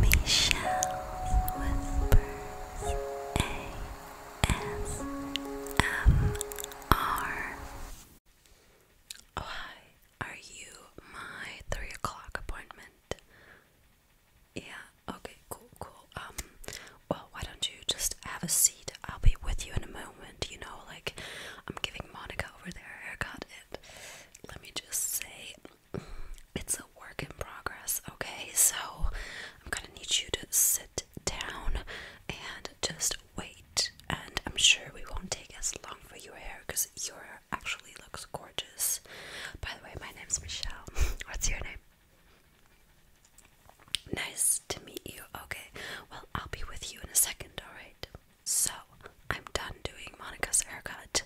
Michelle's Whispers ASMR. Oh, Are you my three o'clock appointment? Yeah, okay, cool, cool. Um, well, why don't you just have a seat? I'll be with you in a moment, you know, like I'm giving Monica over there a haircut. let me just say, it's a work in progress, okay? So I'm gonna need you to sit down and just wait. And I'm sure we won't take as long for your hair because your hair actually looks gorgeous. By the way, my name's Michelle. What's your name? Nice to meet you. Okay, well, I'll be with you in a second, alright? So I'm done doing Monica's haircut.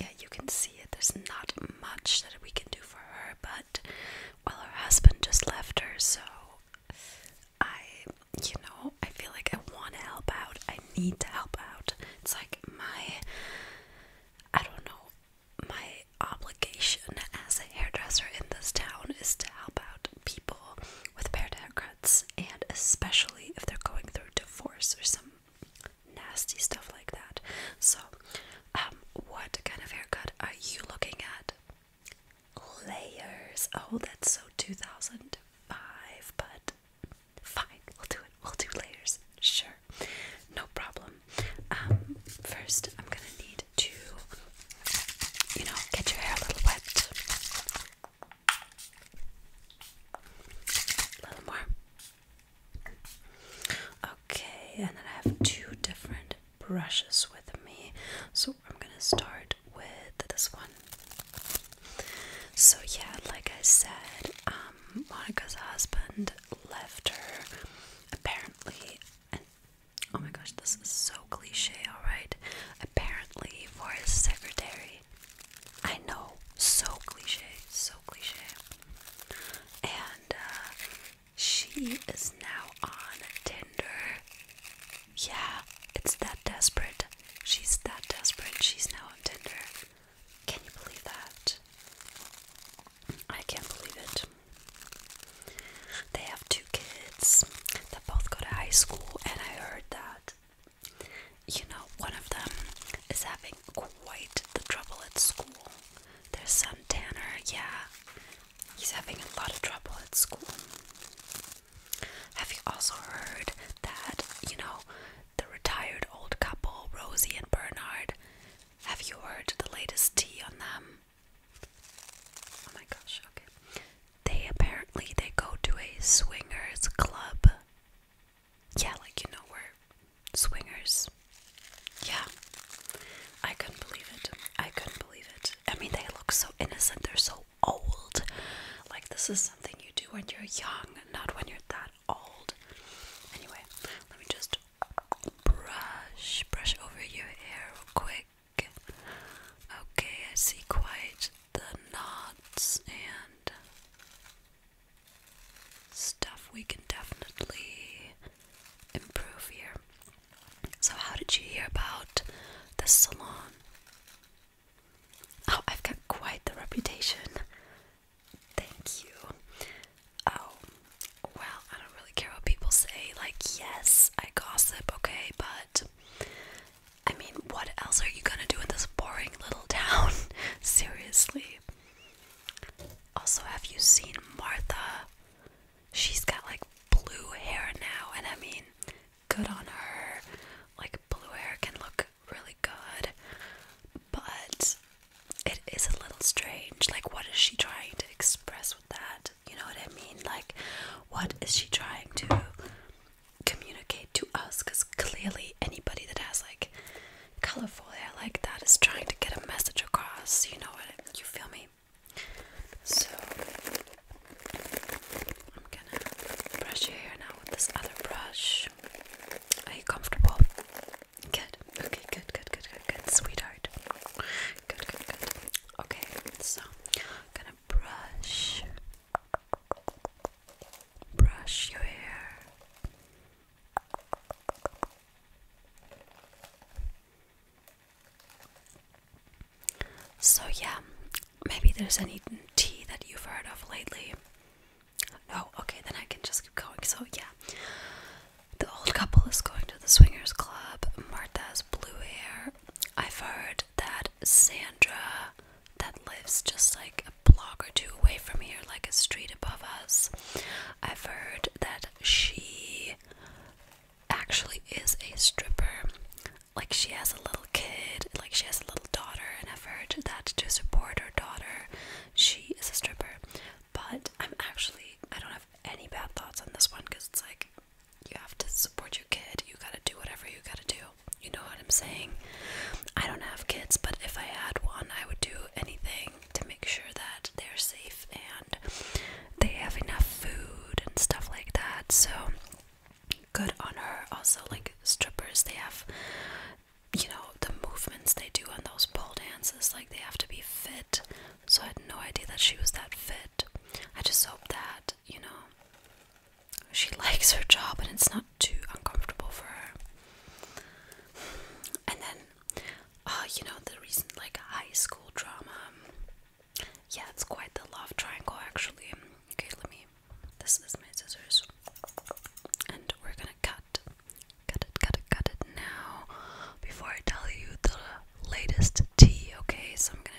yeah, you can see it. There's not much that we can do for her, but well, her husband just left her, so I, you know, I feel like I want to help out. I need to help out. It's like my, I don't know, my obligation as a hairdresser in this town is to help out people with paired haircuts and especially if they're going through divorce or some nasty stuff like that. So, um, what kind of haircut are you looking at? Layers. Oh, that's so 2005, but fine, we'll do it. We'll do layers. Sure, no problem. Um, first, I'm gonna need to, you know, get your hair a little wet. A little more. Okay, and I have two different brushes with me. So I'm gonna start with this one. So, yeah, like I said, um, Monica's husband left her apparently. oh my gosh, this is so cliche, alright? Apparently, for his secretary. I know, so cliche, so cliche. And uh, she is now on Tinder. Yeah, it's that desperate. She's that desperate. She's now on Tinder. Can you believe that? I can't believe it. They have two kids that both go to high school, and I heard that you know, one of them is having quite the trouble at school. There's son Tanner, yeah, he's having a lot of trouble at school. Have you also heard that, you know, the retired old couple, Rosie and Bernard, have you heard the latest tea on them? Oh my gosh, okay they apparently they go to a swingers club. Yeah, like you know we're swingers. Yeah. I couldn't believe it. I couldn't believe it. I mean they look so innocent, they're so old. Like this is something you do when you're young, not when you're that old. Anyway, let me just brush brush over your hair real quick. Okay, I see quite the knots and stuff we can definitely improve here. So, how did you hear about the salon? Oh, I've got quite the reputation. Thank you. Oh, well, I don't really care what people say. Like, yes, I gossip, okay, but I mean, what else are you gonna do in this boring little town? Seriously. Also, have you seen Martha? She's got like blue hair now, and I mean, good on her. Like, blue hair can look really good, but it is a little strange. Like, what is she trying to express with that? You know what I mean? Like, what is she trying to communicate to us? Because clearly, anybody that has like colorful hair like that is trying to get a message across. You know what? I, you feel me? So, I'm gonna brush your hair now with this other brush. Are you comfortable? Good. Okay, good, good, good, good, good. Sweetheart. Good, good, good. Okay, so I'm gonna brush, brush your hair. So, yeah, maybe there's any tea that you've heard of lately. Oh, okay, then I can just keep going. So, yeah, the old couple is going to the swingers club. Martha's blue hair. I've heard that Sandra, that lives just like a block or two away from here, like a street above us, I've heard that she actually is a stripper. Like, she has a little kid, like, she has a little daughter, and I've heard that to support her daughter, she is a stripper. But I'm actually, I don't have any bad thoughts on this one because it's like, you have to support your kid. You gotta do whatever you gotta do. You know what I'm saying? I don't have kids, but if I had one, I would do anything to make sure that they're safe and they have enough food and stuff like that. So good on her. Also, like strippers, they have, you know, the movements they do on those pole dances, like they have to be fit. So I had no idea that she was that fit. I just hope that you know, she likes her job and it's not too uncomfortable for her. And then, uh, you know, the recent like high school drama. Yeah, it's quite the love triangle actually. Okay, let me. This is my scissors. And we're gonna cut. Cut it, cut it, cut it now. Before I tell you the latest tea, okay? So I'm gonna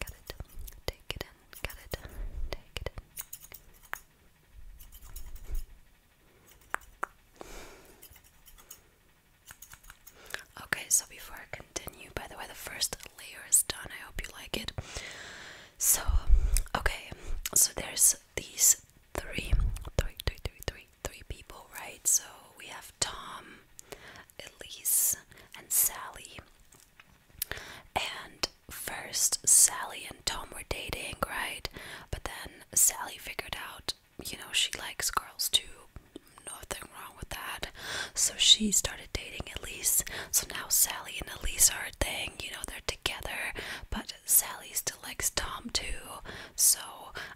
Got it. Take it in. Got it. Take it Okay, so before I continue, by the way, the first layer is done. I hope you like it. So, okay, so there's these three, three, three, three, three, three people, right? So we have Tom, Elise, and Sally. And first, Sally and Tom were dating, right? But then Sally figured out, you know, she likes girls too. Nothing wrong with that. So she started dating Elise. So now Sally and Elise are a thing, you know, they're together. But Sally still likes Tom too. So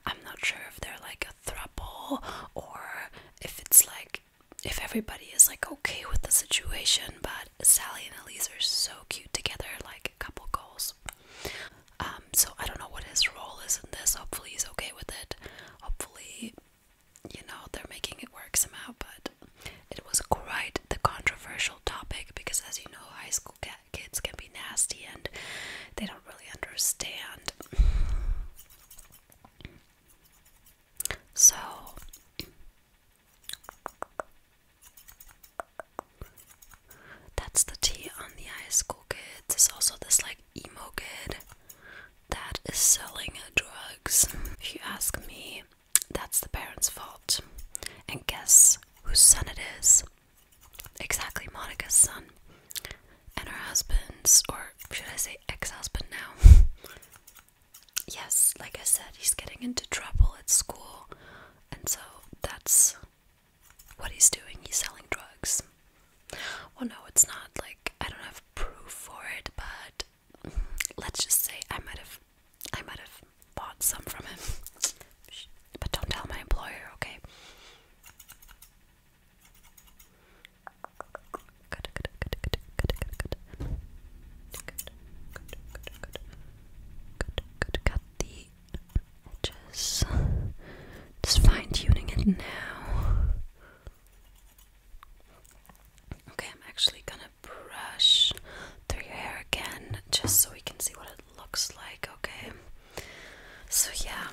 I'm not sure if they're like a throuple or if it's like if everybody is like okay with the situation, but Sally and Elise are so cute together, like a couple goals. Um, so I don't know what his role is in this. Hopefully he's okay with it. Hopefully, you know, they're making it work somehow, but it was quite the controversial topic because as you know, high school kids can be nasty and they don't really understand. So that's the tea on the high school kids. There's also this like emo kid that is selling drugs. If you ask me, that's the parents' fault. And guess whose son it is? Exactly Monica's son. And her husband's, or should I say ex husband now? yes, like I said, he's getting into trouble at school, and so that's what he's doing. He's selling drugs. Well, no, it's not like I don't have proof for it, but let's just say I might have, I might have bought some from him. But don't tell my employer, okay? Good, good, good, good, good, good, good. Good, good, good, good. Good, good. Cut the edges. Just fine tuning it now. Okay, I'm actually gonna brush through your hair again just so we can see what it looks like, okay? So, yeah,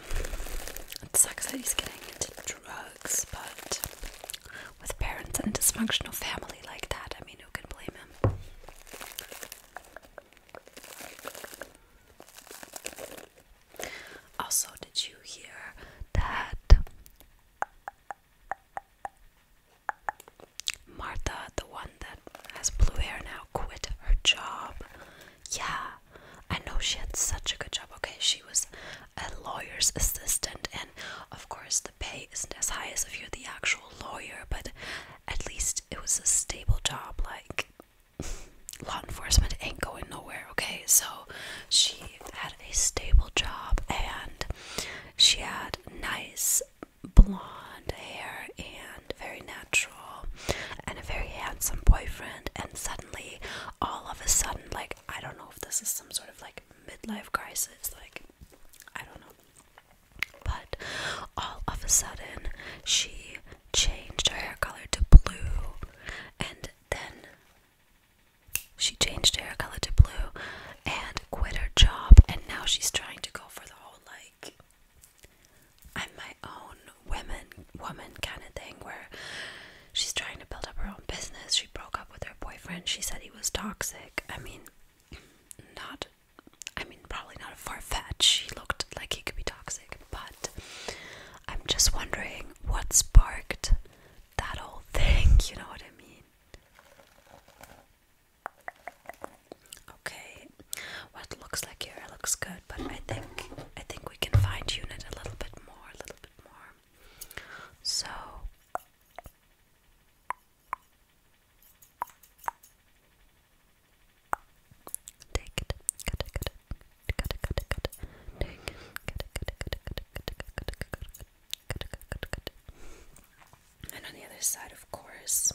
it sucks that he's getting into drugs but with parents and dysfunctional family like that, I mean, who can blame him? Also, did you hear that Martha, the one that has blue hair now, quit her job? Yeah, I know she had such a good job. Okay, she was a lawyer's assistant, and of course, the pay isn't as high as if you're the actual lawyer, but at least it was a stable job. Like, law enforcement ain't going nowhere, okay? So, she had a stable job and she had nice blonde hair and very natural and a very handsome boyfriend, and suddenly all of a sudden, like, I don't know if this is some sort of like midlife crisis, like, I don't know. But all of a sudden, she changed her hair color to blue, and then she changed her hair color to blue and quit her job, and now she's trying to go for the whole like, I'm my own women woman kind of thing where she's trying to build up her own business. She broke up with her boyfriend. She said he was toxic. I mean, not I mean, probably not a far fetch. She looked like he could be toxic, but I'm just wondering what sparked that whole thing, you know what I mean? Okay, what looks like your looks good but I think I think we can find tune a little bit more, a little bit more. So take it, cut it, cut it, cut it, cut it, cut it, take it, cut it, cut it, cut it, cut it, cut it, cut it, cut it, cut it, cut it, cut it. And on the other side, of course,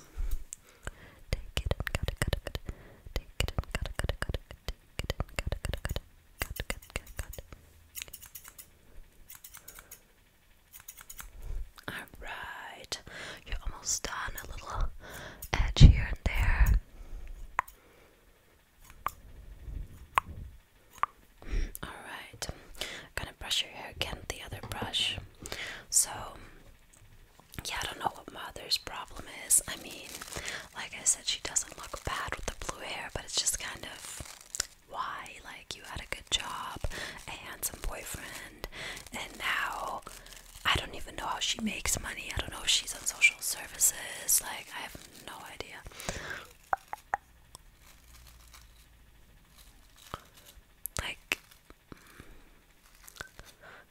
take it and cut it, cut it, cut it, take it and cut it, cut it, cut it, Get in, get in, get in, get in. Alright. You're almost done. A little edge here and there. Alright. gonna brush your hair again with the other brush. So yeah, I don't know what mother's problem is. I mean, like I said, she doesn't look bad with the blue hair, but it's just kind of why? Like, you had a good job, a handsome boyfriend, and now I don't even know how she makes money. I don't know if she's on social services. Like, I have no idea. Like,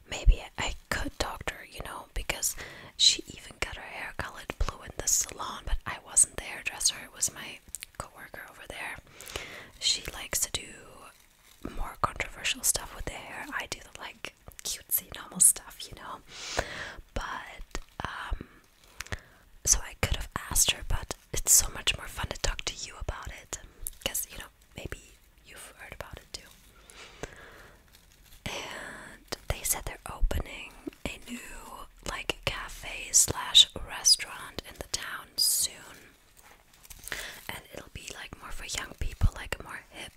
Maybe I could talk to her, you know, because she even got her hair colored blue in the salon, but I wasn't the hairdresser, it was my coworker over there. She likes to do more controversial stuff with the hair. I do the like cutesy normal stuff, you know. But um so I could have asked her, but it's so much more fun to talk to you about it. Because, you know, maybe you've heard about it too. And they said they're opening a new like cafe slash restaurant in the town soon. And it'll be like more for young people, like more hip.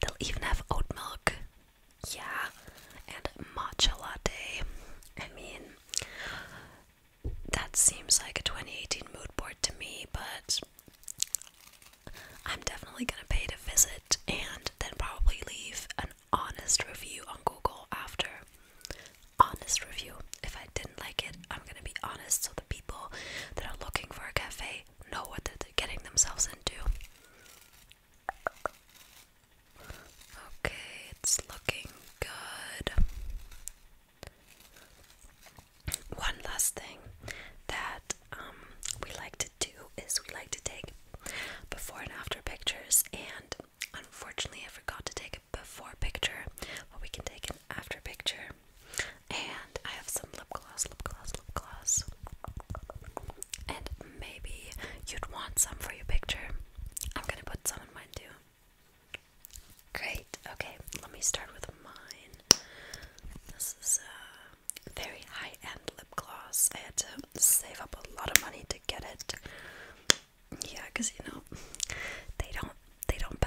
They'll even have oat milk. Yeah. And matcha latte. I mean, that seems like a 2018 mood board to me, but I'm definitely gonna pay to visit and then probably leave an honest review on Google after. Honest review. If I didn't like it, I'm gonna be honest so the people that are looking for a cafe know what they're getting themselves into. Okay, it's looking good one last thing that um, we like to do is we like to take before and after pictures, and unfortunately, I forgot to take a before picture, but we can take an after picture. And I have some lip gloss, lip gloss, lip gloss, and maybe you'd want some for your picture. I'm gonna put some in mine too. Great, okay, let me start with mine. This is a very high end lip gloss. I had to save up a lot of money to get it. Yeah, because you know they don't they don't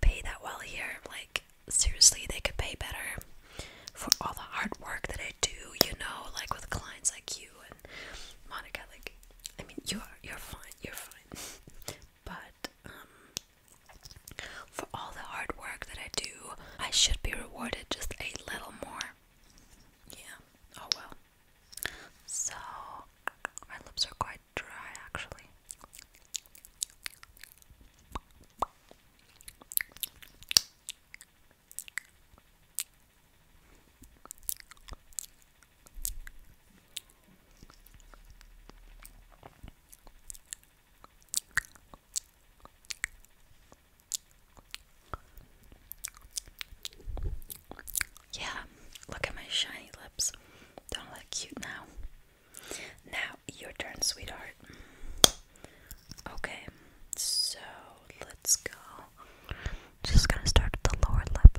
pay that well here. Like seriously, they could pay better for all the hard work that I do. You know, like with clients like you and Monica. Like I mean, you you're fine, you're fine. but that um, for all the hard work that I do, I should be rewarded just a little more. Yeah, oh well. So, my lips are quite dry actually. Yeah, look at my shiny lips. Don't look cute now. Now, your turn, sweetheart. Okay, so let's go. Just gonna start with the lower lip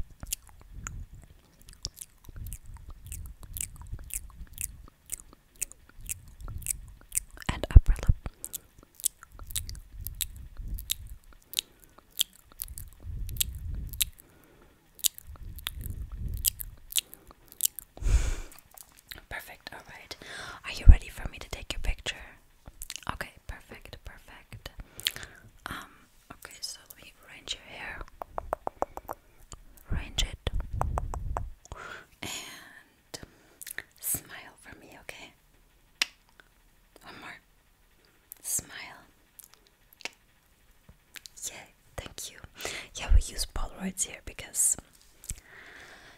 and upper lip. Perfect, alright. Are you ready for me to take your picture? Okay, perfect, perfect. Um, Okay, so let me arrange your hair, arrange it, and smile for me, okay? One more. Smile. Yeah, thank you. Yeah, we use Polaroids here because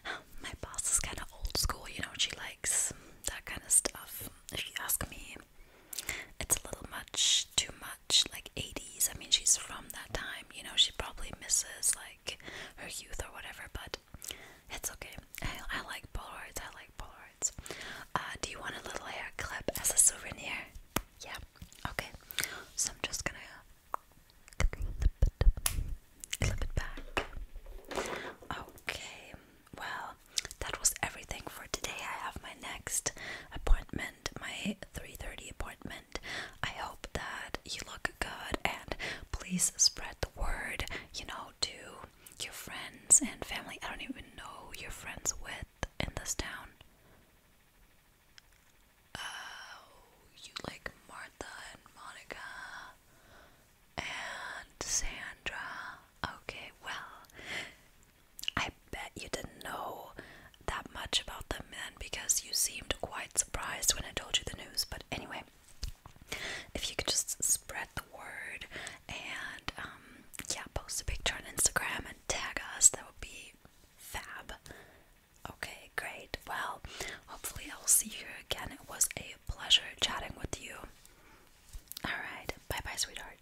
oh, my boss is kind of old school, you know, she likes that kind of stuff. She asked me it's a little much, too much, like 80s. I mean, she's from that time, you know, she probably misses like her youth or whatever, but it's okay. I, like Polaroids, I like Polaroids. Uh, do you want a little hair clip as a souvenir? Yeah, okay. So I'm just gonna clip it back. Okay, well, that was everything for today. I have my next appointment my 3:30 appointment. I hope that you look good and please spread the word, you know, to your friends and family. I don't even know your friends with in this town. Oh, you like Martha and Monica and Sandra. Okay, well, I bet you didn't know that much about the then because you seemed quite surprised when I told you the news. But anyway, if you could just spread the word and um, yeah, post a picture on Instagram and tag us, that would be fab. Okay, great. Well, hopefully, I will see you again. It was a pleasure chatting with you. Alright, bye bye, sweetheart.